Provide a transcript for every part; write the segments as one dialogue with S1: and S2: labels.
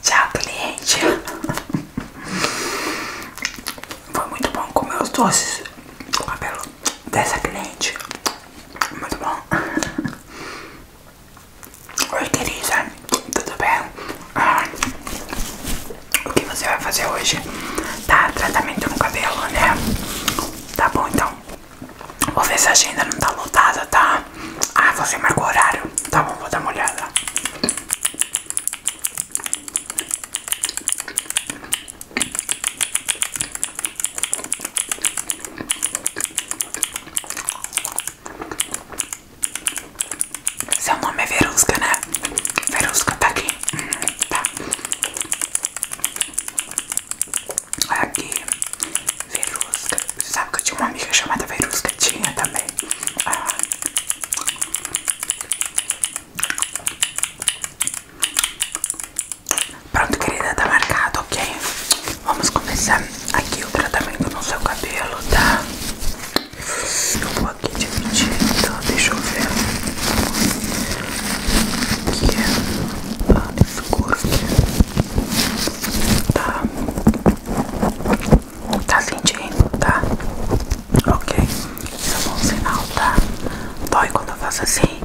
S1: Tchau, cliente. Foi muito bom comer os doces com cabelo dessa cliente. Muito bom. Oi, querida. Tudo bem? o que você vai fazer hoje? Tá, tratamento no cabelo, né? Tá bom, então. Vou ver se a agenda não tá lotada, tá? Ah, você marcou horário. Tá bom, vou dar uma olhada. Seu nome é Verusca, né? Verusca tá aqui. Uhum, tá. Aqui. Veru você sabe que eu tinha uma amiga chamada Verusca? Tinha também. Ah. Pronto, querida, tá marcado, ok? Vamos começar aqui o tratamento no seu cabelo, tá? Eu vou aqui dividindo, deixa eu ver. Aqui é ah, escuro Tá. Tá sentindo, tá? Ok, isso é bom sinal, tá? Dói quando eu faço assim?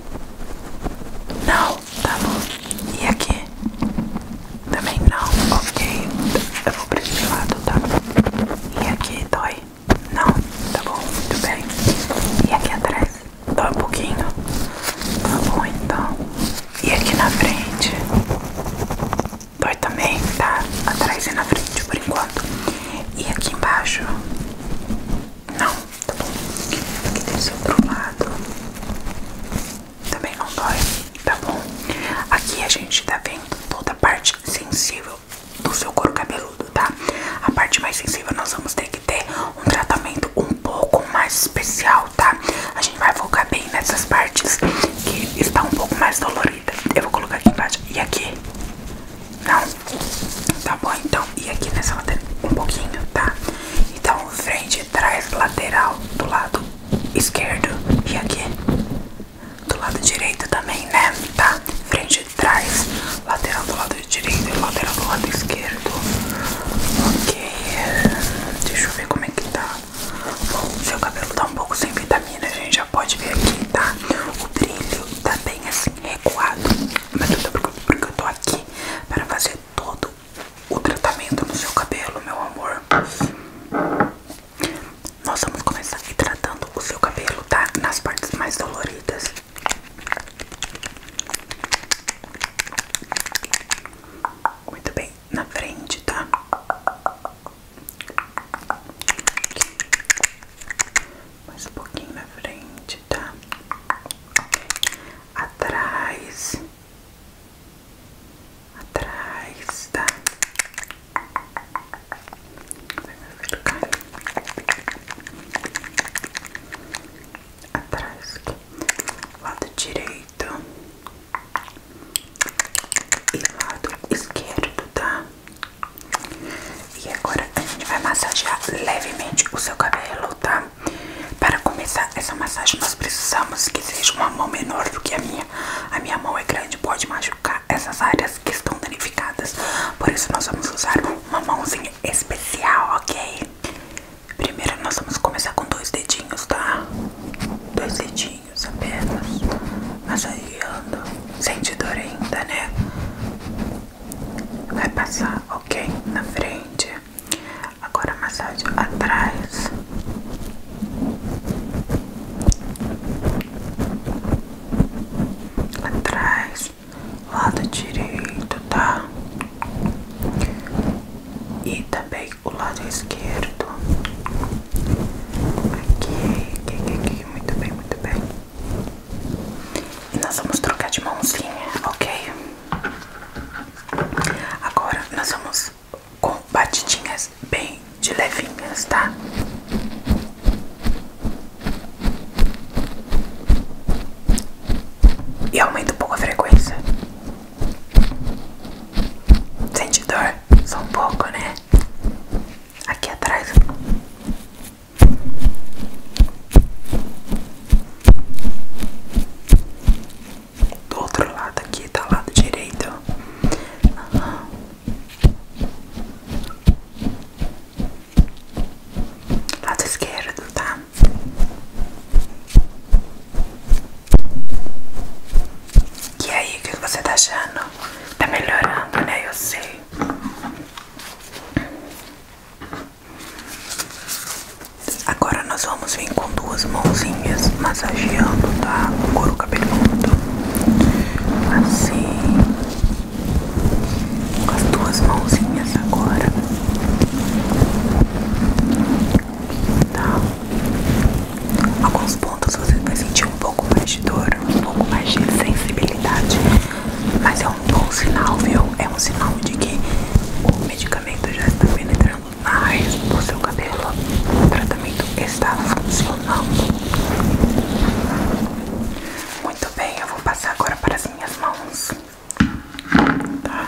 S1: Não, tá bom. E aqui? Também não, ok. Eu vou pra esse lado, tá? E aqui dói? Não, tá bom, muito bem. E aqui atrás? Dói um pouquinho? Tá bom, então. E aqui na frente? dói também, tá? Atrás e na frente por enquanto. E aqui embaixo. Não, tá bom. Aqui desse outro lado. Também não dói, tá bom? Aqui a gente tá vendo toda a parte sensível do seu couro cabeludo, tá? A parte mais sensível nós vamos ter que ter um tratamento um pouco mais especial tá? A gente vai focar bem nessas partes que estão um pouco mais doloridas. Eu vou colocar aqui embaixo. E aqui? Não? Tá bom, então. E aqui nessa lateral? Um pouquinho, tá? Então, frente, trás, lateral, do lado esquerdo. E aqui? Do lado direito também, né? Tá? Frente, trás, lateral do lado direito e lateral do lado esquerdo. Ok. Deixa eu ver como é que tá. Bom, seu cabelo tá um pouco sem vitamina, a gente já pode ver aqui, tá? O brilho tá bem assim, recuado. Mas eu tô porque eu tô aqui para fazer todo o tratamento no seu cabelo, meu amor. Nós vamos começar aqui tratando o seu cabelo, tá? Nas partes mais doloridas. Muito bem, na frente, tá? Mais um pouquinho na frente, tá? Okay. Atrás, atrás, tá? Vai me atrás, lado direito e lado esquerdo, tá? E agora a gente vai massagear levemente o seu cabelo, tá? Para começar essa massagem nós precisamos que seja uma mão menor do que a minha. A minha mão é grande, pode machucar essas áreas que estão danificadas. Por isso nós vamos usar uma mãozinha especial, ok? Primeiro nós vamos começar com dois dedinhos, tá? Dois dedinhos pouquinhos apenas, massageando, sente dor ainda, né? Vai passar, ok? Na frente, agora massagem atrás. Atrás, lado direito, tá? E também o lado esquerdo. Aqui, aqui, aqui, Muito bem, muito bem. E nós vamos trocar de mãozinha, ok? Agora nós vamos com batidinhas bem de levinhas, tá? E aumenta um pouco a frequência. Sente dor? Só um pouco, né? Aqui atrás. Do outro lado aqui, tá do lado direito. Lado esquerdo, tá? E aí, o que você tá achando? Tá melhorando, né? Eu sei. Agora nós vamos vir com duas mãozinhas massageando, tá? O couro cabeludo. Assim. Com as duas mãozinhas agora tá? Alguns pontos você vai sentir um pouco mais de dor, um pouco mais de sensibilidade, mas é um bom sinal, viu? É um sinal de que o medicamento já está penetrando na no seu cabelo, o tratamento está funcionando. Muito bem, eu vou passar agora para as minhas mãos. Tá.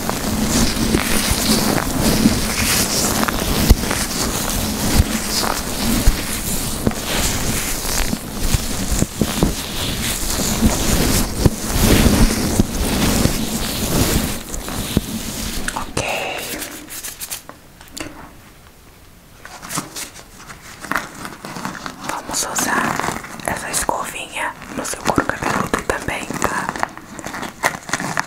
S1: Ok, vamos usar essa escovinha no seu couro cabeludo também, tá?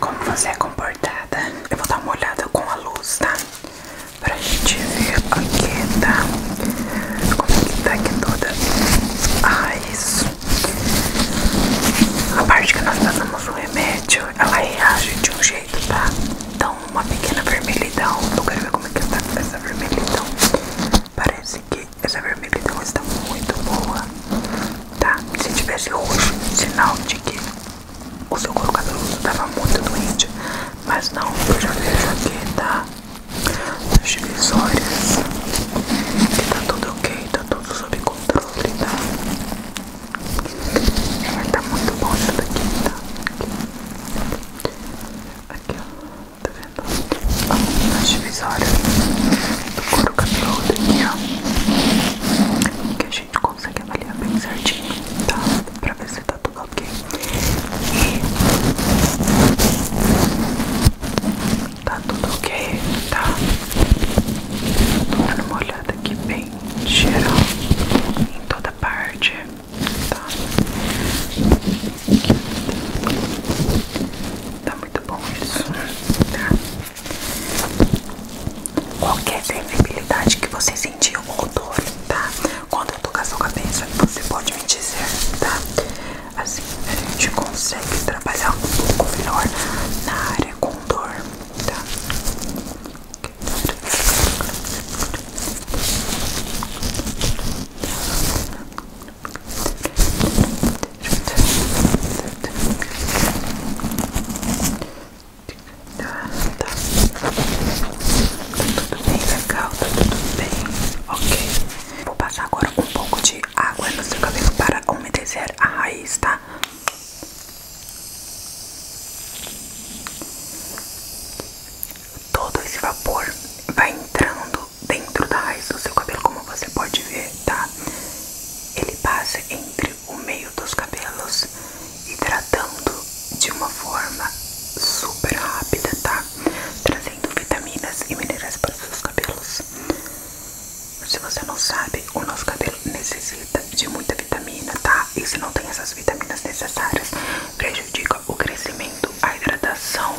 S1: Como você é comportada, eu vou dar uma olhada com a luz, tá? pra gente ver aqui, tá? Como é que tá aqui toda a raiz. A parte que nós passamos o remédio, ela reage de um jeito, tá? dá uma pequena vermelhidão. Eu quero ver como é que tá essa vermelhidão. Parece que essa vermelhidão está muito boa, tá? Se tivesse roxo, sinal de que o seu couro cabeludo estava muito doente, mas não, eu já vejo aqui, tá? Nas divisórias. E tá tudo ok, tá tudo sob controle, tá? É, tá muito bom isso daqui, tá? Aqui, ó, tá vendo? Ó, nas divisórias do couro cabeludo aqui, ó gente consegue avaliar bem certinho, tá? Pra ver se tá tudo ok. E tá tudo ok, tá? Tô dando uma olhada aqui bem geral em toda parte, tá? Tá muito bom isso, tá? Qualquer sensibilidade que vocês sentir um odor, tá? Quando eu tocar sua cabeça, você pode me dizer, tá? Assim a gente consegue trabalhar um pouco melhor na área com dor, tá? Tá, Tá, tá. tá tudo bem legal, tá tudo bem, ok. Vou passar agora um pouco de água no seu cabelo para umedecer a raiz, tá? Todo esse vapor vai entrando dentro da raiz do seu cabelo, como você pode ver, tá? Ele passa entre o meio dos cabelos, hidratando de uma forma super rápida, tá? Trazendo vitaminas e minerais para os seus cabelos. Se você não sabe, o nosso cabelo necessita de muita vitamina, tá? E se não tem essas vitaminas necessárias, prejudica o crescimento, a hidratação,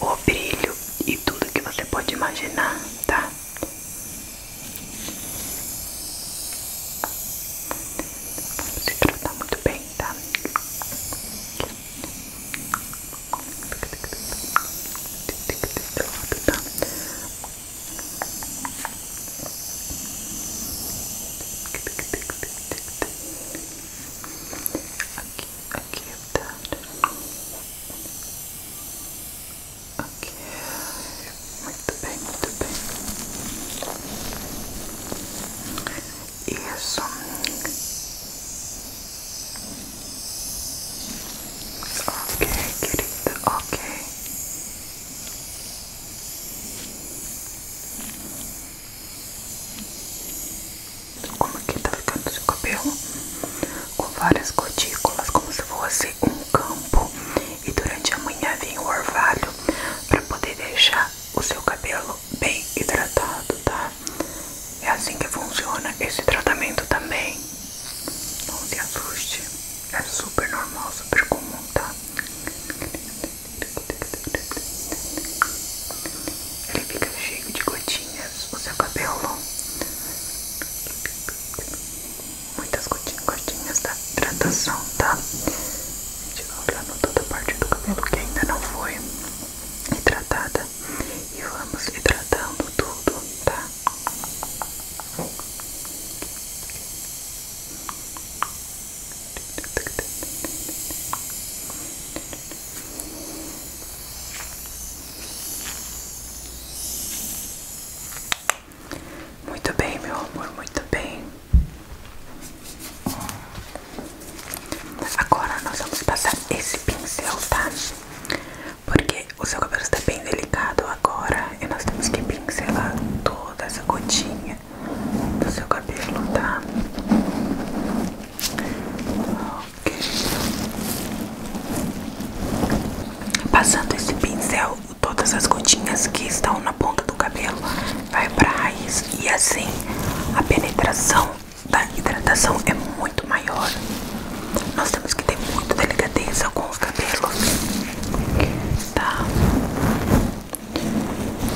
S1: o brilho e tudo que você pode imaginar, tá? Vamos se tratar muito bem, tá? Aqui, aqui tá. Aqui, muito bem, muito bem. Isso. Ok, querida, ok. Como aqui tá ficando de cabelo com várias gotículas, como se fosse um campo. E durante a manhã vem o orvalho para poder deixar o seu cabelo bem hidratado, tá? É assim que funciona esse tratamento também. Não se assuste, é super normal, super comum, tá? Ele fica cheio de gotinhas, o seu cabelo muitas gotinhas, da hidratação, tá? A gente vai olhando toda a parte do cabelo que ainda não foi hidratada e vamos hidratando tudo, tá? Muito bem, meu amor, muito bem. Agora nós vamos passar esse pincel, tá? Porque o seu cabelo está bem delicado agora e nós temos que pincelar toda essa gotinha do seu cabelo, tá? Ok. Passando esse pincel todas as gotinhas que estão na ponta do cabelo vai para raiz e assim a penetração da hidratação é muito maior. Nós temos que ter muita delicadeza com os cabelos, tá?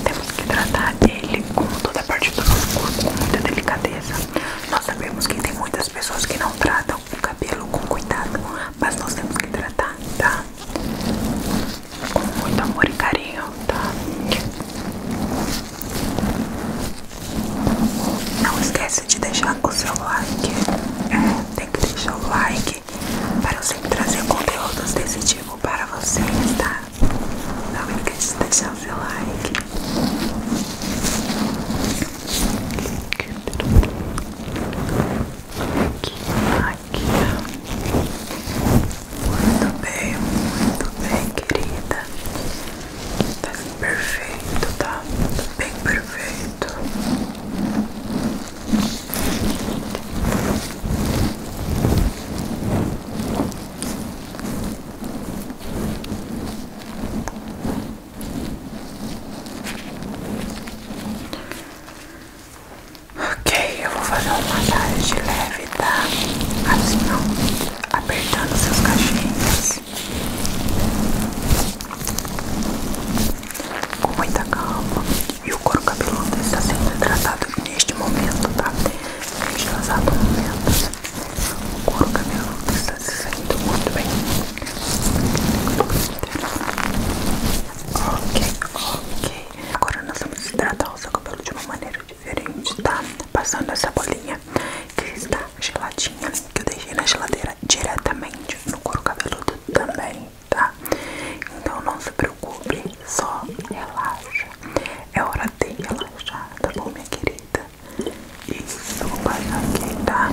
S1: Temos que tratar ele com toda a parte do nosso corpo com muita delicadeza. Nós sabemos que tem muitas pessoas que não tratam o cabelo com cuidado, mas nós temos que tratar, tá? com muito amor e carinho, tá? Não esquece de deixar o seu like, é, tem que deixar o like para eu sempre trazer conteúdos desse tipo para vocês, tá? Não esquece de deixar o seu like. Aqui, aqui. Muito bem, muito bem, querida. Tá perfeito, tá? Bem perfeito. Ok, eu vou fazer uma massagem leve, tá? Assim não, apertando seus cachinhos com muita calma. E o couro cabeludo está sendo tratado neste momento, tá? Neste exato momento, o couro cabeludo está se saindo muito bem. Ok, ok. Agora nós vamos hidratar o seu cabelo de uma maneira diferente, tá? Passando essa bolinha que está geladinha, que eu deixei na geladeira diretamente no couro cabeludo também, tá? Então não se preocupe, só relaxa. É hora de relaxar, tá bom, minha querida? Isso, eu vou passar aqui, tá?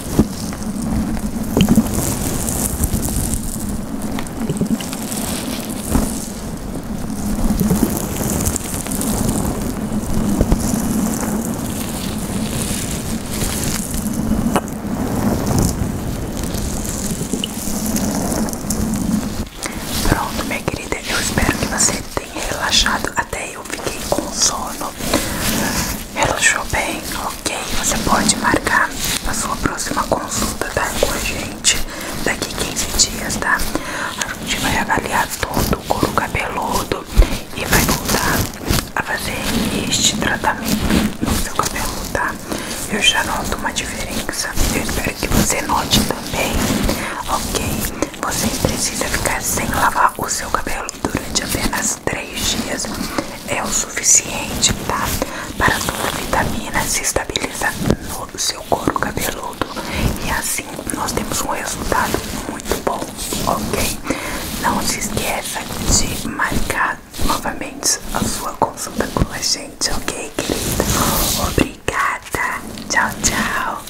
S1: Pronto, minha querida, eu espero que você tenha relaxado. Até eu fiquei com sono. Relaxou bem, ok? Você pode marcar a sua próxima consulta, tá? Com a gente daqui 15 dias, tá? A gente vai avaliar todo o couro cabeludo e vai voltar a fazer este tratamento no seu cabelo, tá? Eu já noto uma diferença. Eu espero que você note também, ok? Você precisa ficar sem lavar o seu cabelo durante apenas 3 dias é o suficiente, tá? Para a sua vitamina se estabilizar no seu couro cabeludo. E assim nós temos um resultado muito bom, ok? Não se esqueça de marcar novamente a sua consulta com a gente, ok, querida? Obrigada! Tchau, tchau!